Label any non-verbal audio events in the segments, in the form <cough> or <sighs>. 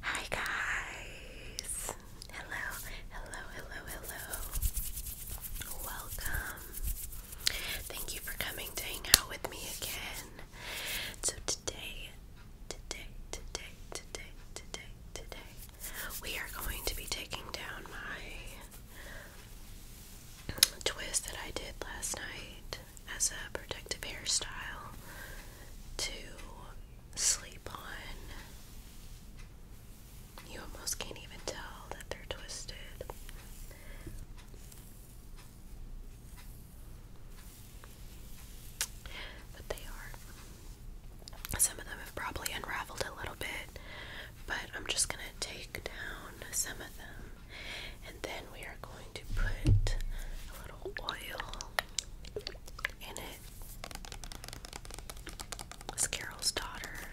Hi guys! Hello, hello, hello, hello. Welcome. Thank you for coming to hang out with me again. So today, today, today, today, today, today, we are going to be taking down my twist that I did last night as a protective hairstyle to sleep on. You almost can't even tell that they're twisted. But they are. Some of them have probably unraveled a little bit, but I'm just going to take down some of them and then we are going to put a little oil in it. Carol's daughter.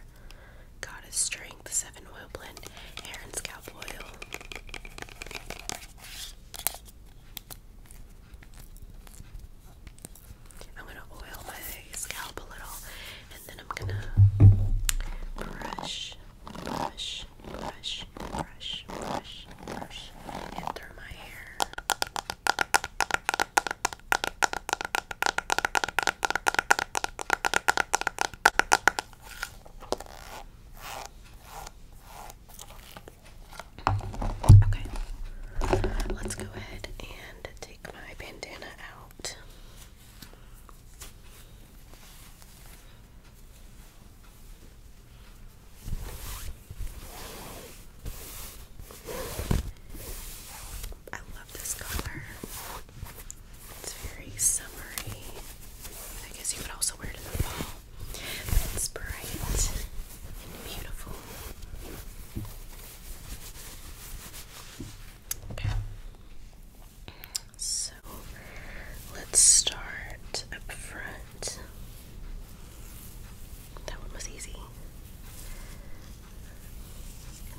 Goddess Strength 7 Oil Blend Hair and Scalp Oil. I'm gonna oil my scalp a little and then I'm gonna brush, brush, brush, brush, brush, brush, brush my hair. Okay, let's go ahead and take my bandana out. I love this color. It's very summery. I guess you could also wear it in the fall. it's bright and beautiful. Okay. So let's start up front. That one was easy.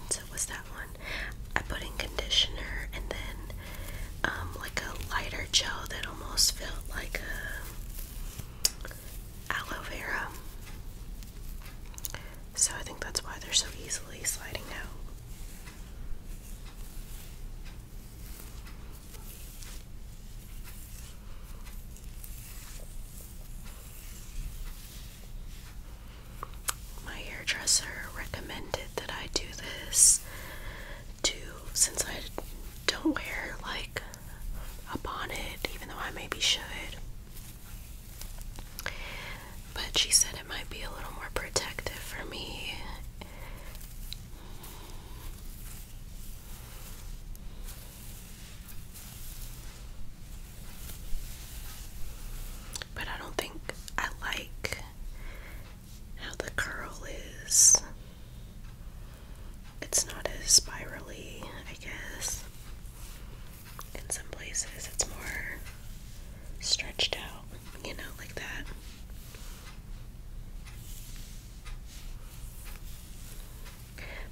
And so was that one. I put in conditioner and then um, like a lighter gel that almost felt like a aloe vera. So I think that's why they're so easily sliding now. My hairdresser recommended that I do this to since I don't wear like a bonnet, even though I maybe should. But she said it might be a little more protective for me but I don't think I like how the curl is. It's not as spirally, I guess. In some places, it's more stretched out you know, like that.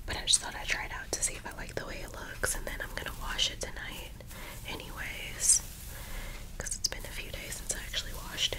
But I just thought I'd try it out to see if I like the way it looks, and then I'm gonna wash it tonight, anyways, because it's been a few days since I actually washed it.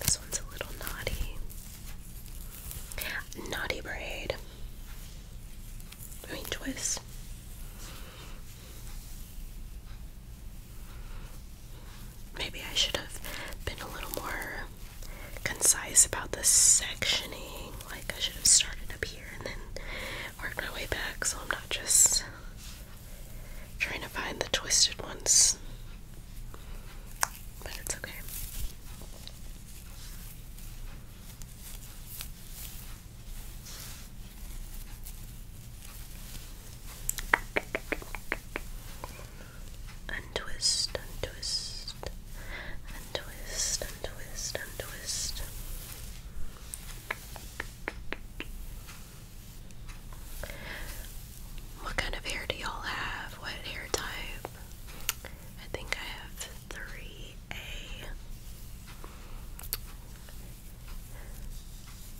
This one's a little naughty. Naughty braid. I mean, twist. Maybe I should have been a little more concise about the sectioning. Like, I should have started up here and then worked my way back so I'm not just trying to find the twisted ones but it's okay. Untwist, untwist, untwist, untwist, untwist. What kind of hair do y'all have? What hair type? I think I have 3A.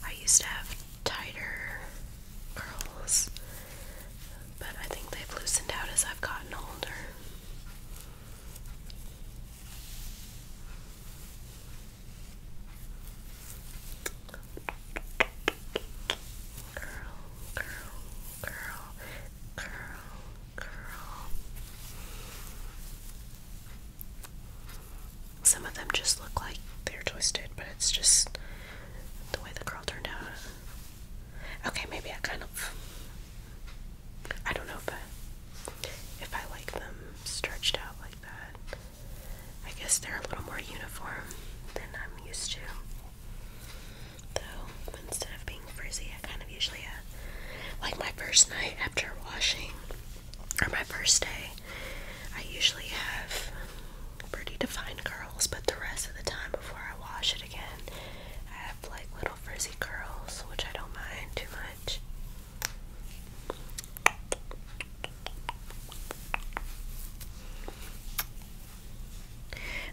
I used to have tighter curls, but I think they've loosened out as I've gotten older curl, curl, curl, curl, curl. Some of them just look like they're twisted, but it's just the way the curl turned out. Okay, maybe I kind of. I don't know, but if I like them stretched out like that, I guess they're a little more uniform than I'm used to though instead of being frizzy I kind of usually have uh, like my first night after washing or my first day I usually have pretty defined curls but the rest of the time before I wash it again I have like little frizzy curls which I don't mind too much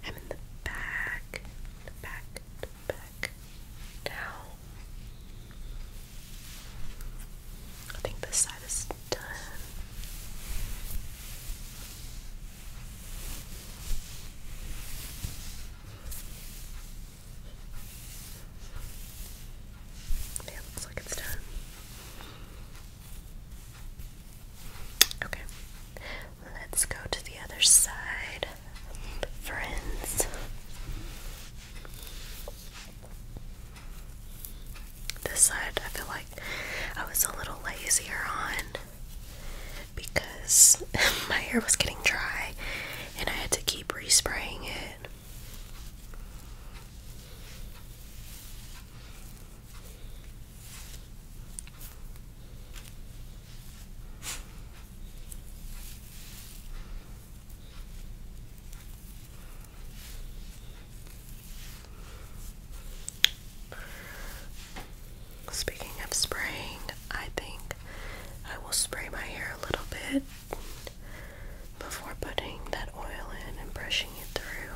I'm in the back, the back, the back, down. I think this side is done. it looks like it's done. Okay, let's go to the other side, friends. This side, I feel like I was a little lazier on because <laughs> my hair was getting dry and I had to keep respraying it. Speaking of spraying, I think I will spray my hair a little bit before putting that oil in and brushing it through.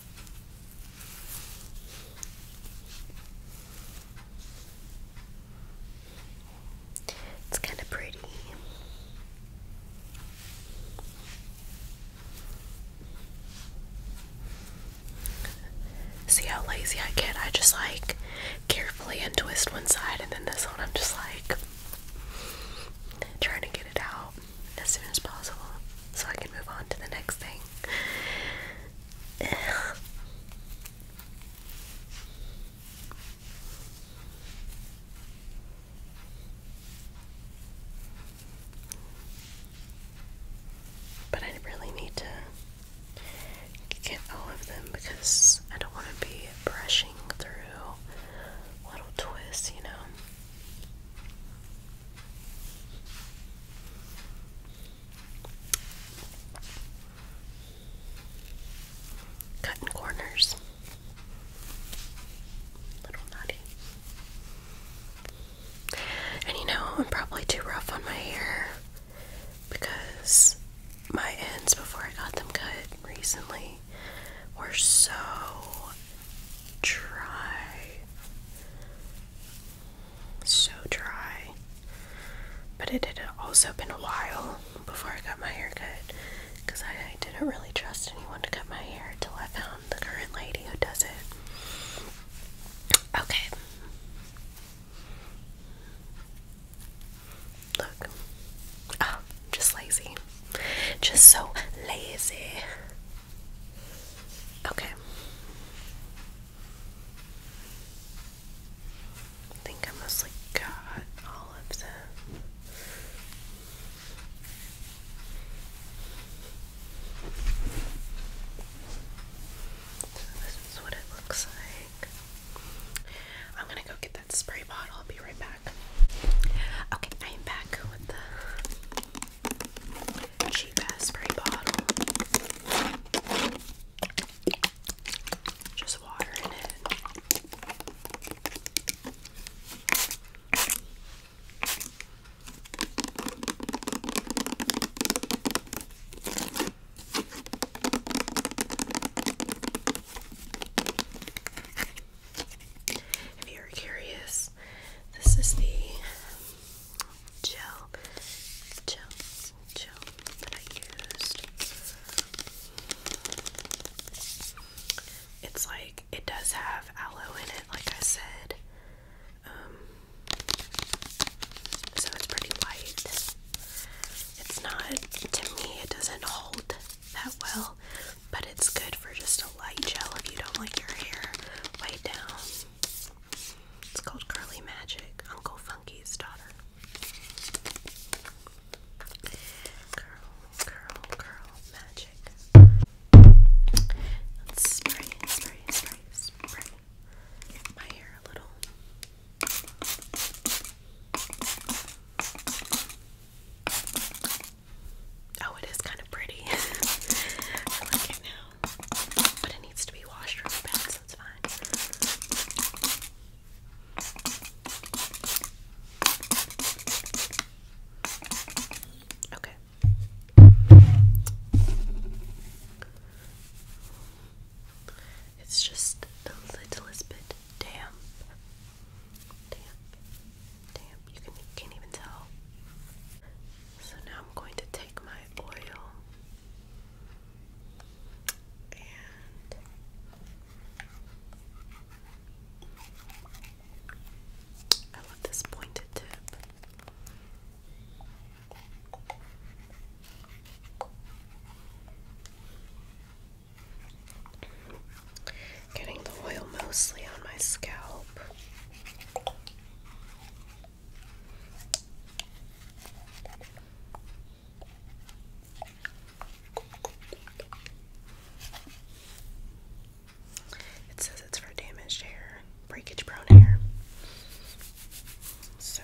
It's kind of pretty. See how lazy I get? I just like carefully untwist one side, and then this one I'm just like trying to get it out as soon as possible so I can move on to the next thing. <sighs> But I really need to get all of them because I don't want to be brushing through little twists, you know. Cutting corners. Little nutty. And you know, I'm probably too rough on my hair because my ends before I got them cut recently were so dry. So dry. But it had also been a while before I got my hair cut because I, I didn't really trust anyone to cut my hair until I found the current lady who does it. Okay. Look. Oh, just lazy. Just so lazy. Okay. I think I mostly got all of them. So this is what it looks like. I'm gonna go get that spray bottle. I'll be right back. Okay, I am back with the cheap ass spray bottle. Just water in it. If you're curious, this is the gel, gel, gel that I used. It's like it does have aloe in it, like I said. Um, so it's pretty light. It's not, to me, it doesn't hold that well but it's good for just a light gel if you don't like your hair way down. It's called Curly Magic, Uncle Funky's daughter. Curl, curl, curl, magic. Let's spray, spray, spray, spray my hair a little. Oh, it is kind of pretty. <laughs> I like it now. But it needs to be washed really bad, so it's fine. Okay. It's just the littlest bit damp. Damp damp. You can't even tell. So now I'm going to take my oil and I love this pointed tip. Getting the oil mostly on my scalp. It says it's for damaged hair, breakage prone hair. So.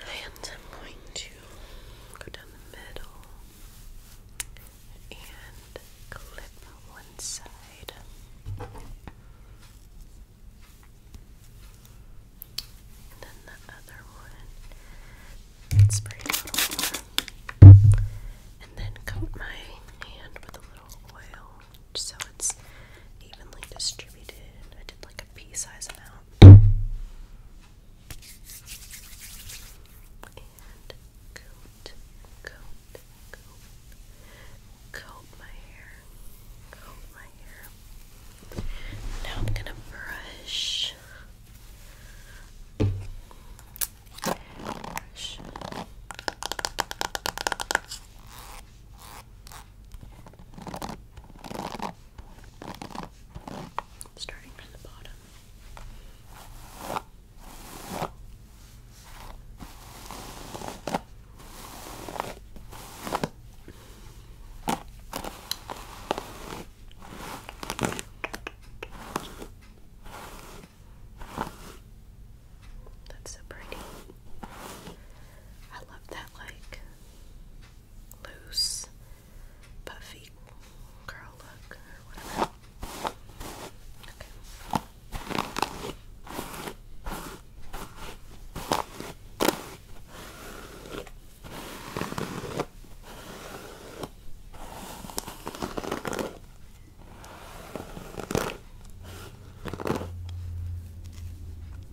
And I'm going to go down the middle and clip one side. And then the other one. Spray a little more. And then coat my hand with a little oil so it's evenly distributed. I did like like pea size amount. And coat, coat, coat my hair, coat my hair. Now I'm gonna brush. Brush. Starting from the bottom. That's so pretty. I love that, like, loose, puffy curl look or whatever. Okay.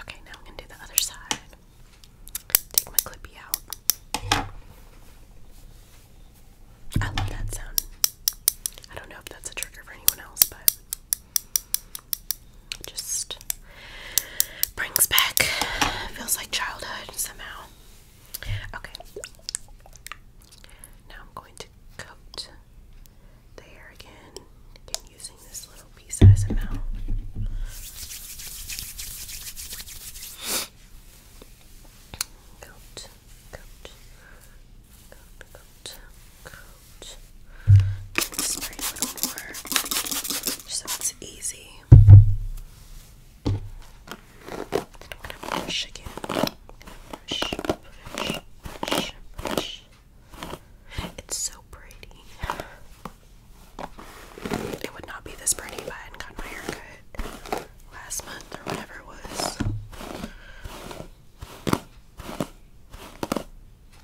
Okay, now I'm going to do the other side. Take my clippy out. I love that sound. I don't know if that's a trigger for anyone else, but just brings back feels like childhood somehow. Okay. Now I'm going to coat the hair again, again using this little piece as a Coat, coat, coat, coat, coat, spray a little more so it's easy. And when I push again, It's so pretty. It would not be this pretty if I hadn't gotten my hair last month or whatever it was.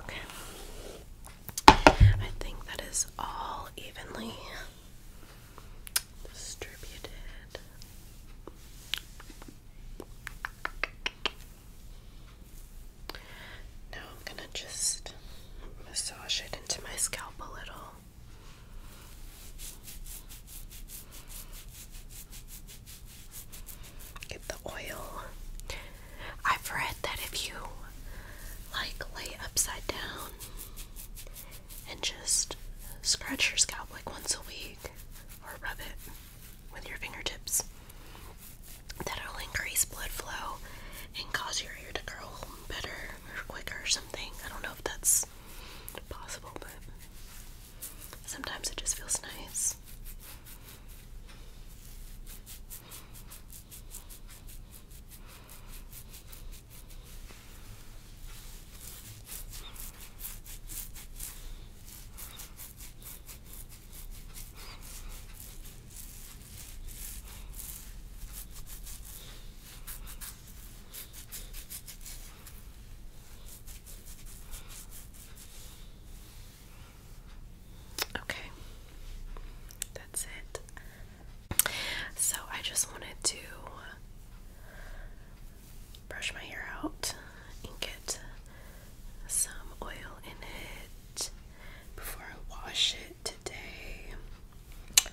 Okay. I think that is all evenly distributed. Now I'm going to just massage it into my scalp a little. Get the oil. I've read that if you like lay upside down and just scratch your scalp like once a week or rub it with your fingertips, that'll increase blood flow and cause your hair to curl better or quicker or something. I don't know if that's possible, but Sometimes it just feels nice. Okay, that's it. So I just wanted to brush my hair out and get some oil in it before I wash it today.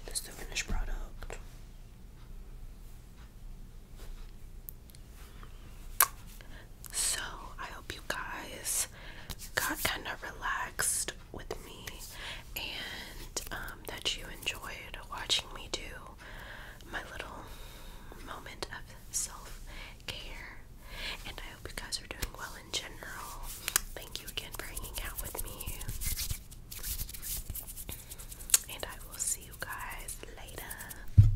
This is the finished product. So, I hope you guys got kind of relaxed with me and um, that you enjoyed watching me do my little moment of self care. And I hope you guys are doing well in general. Thank you again for hanging out with me. And I will see you guys later.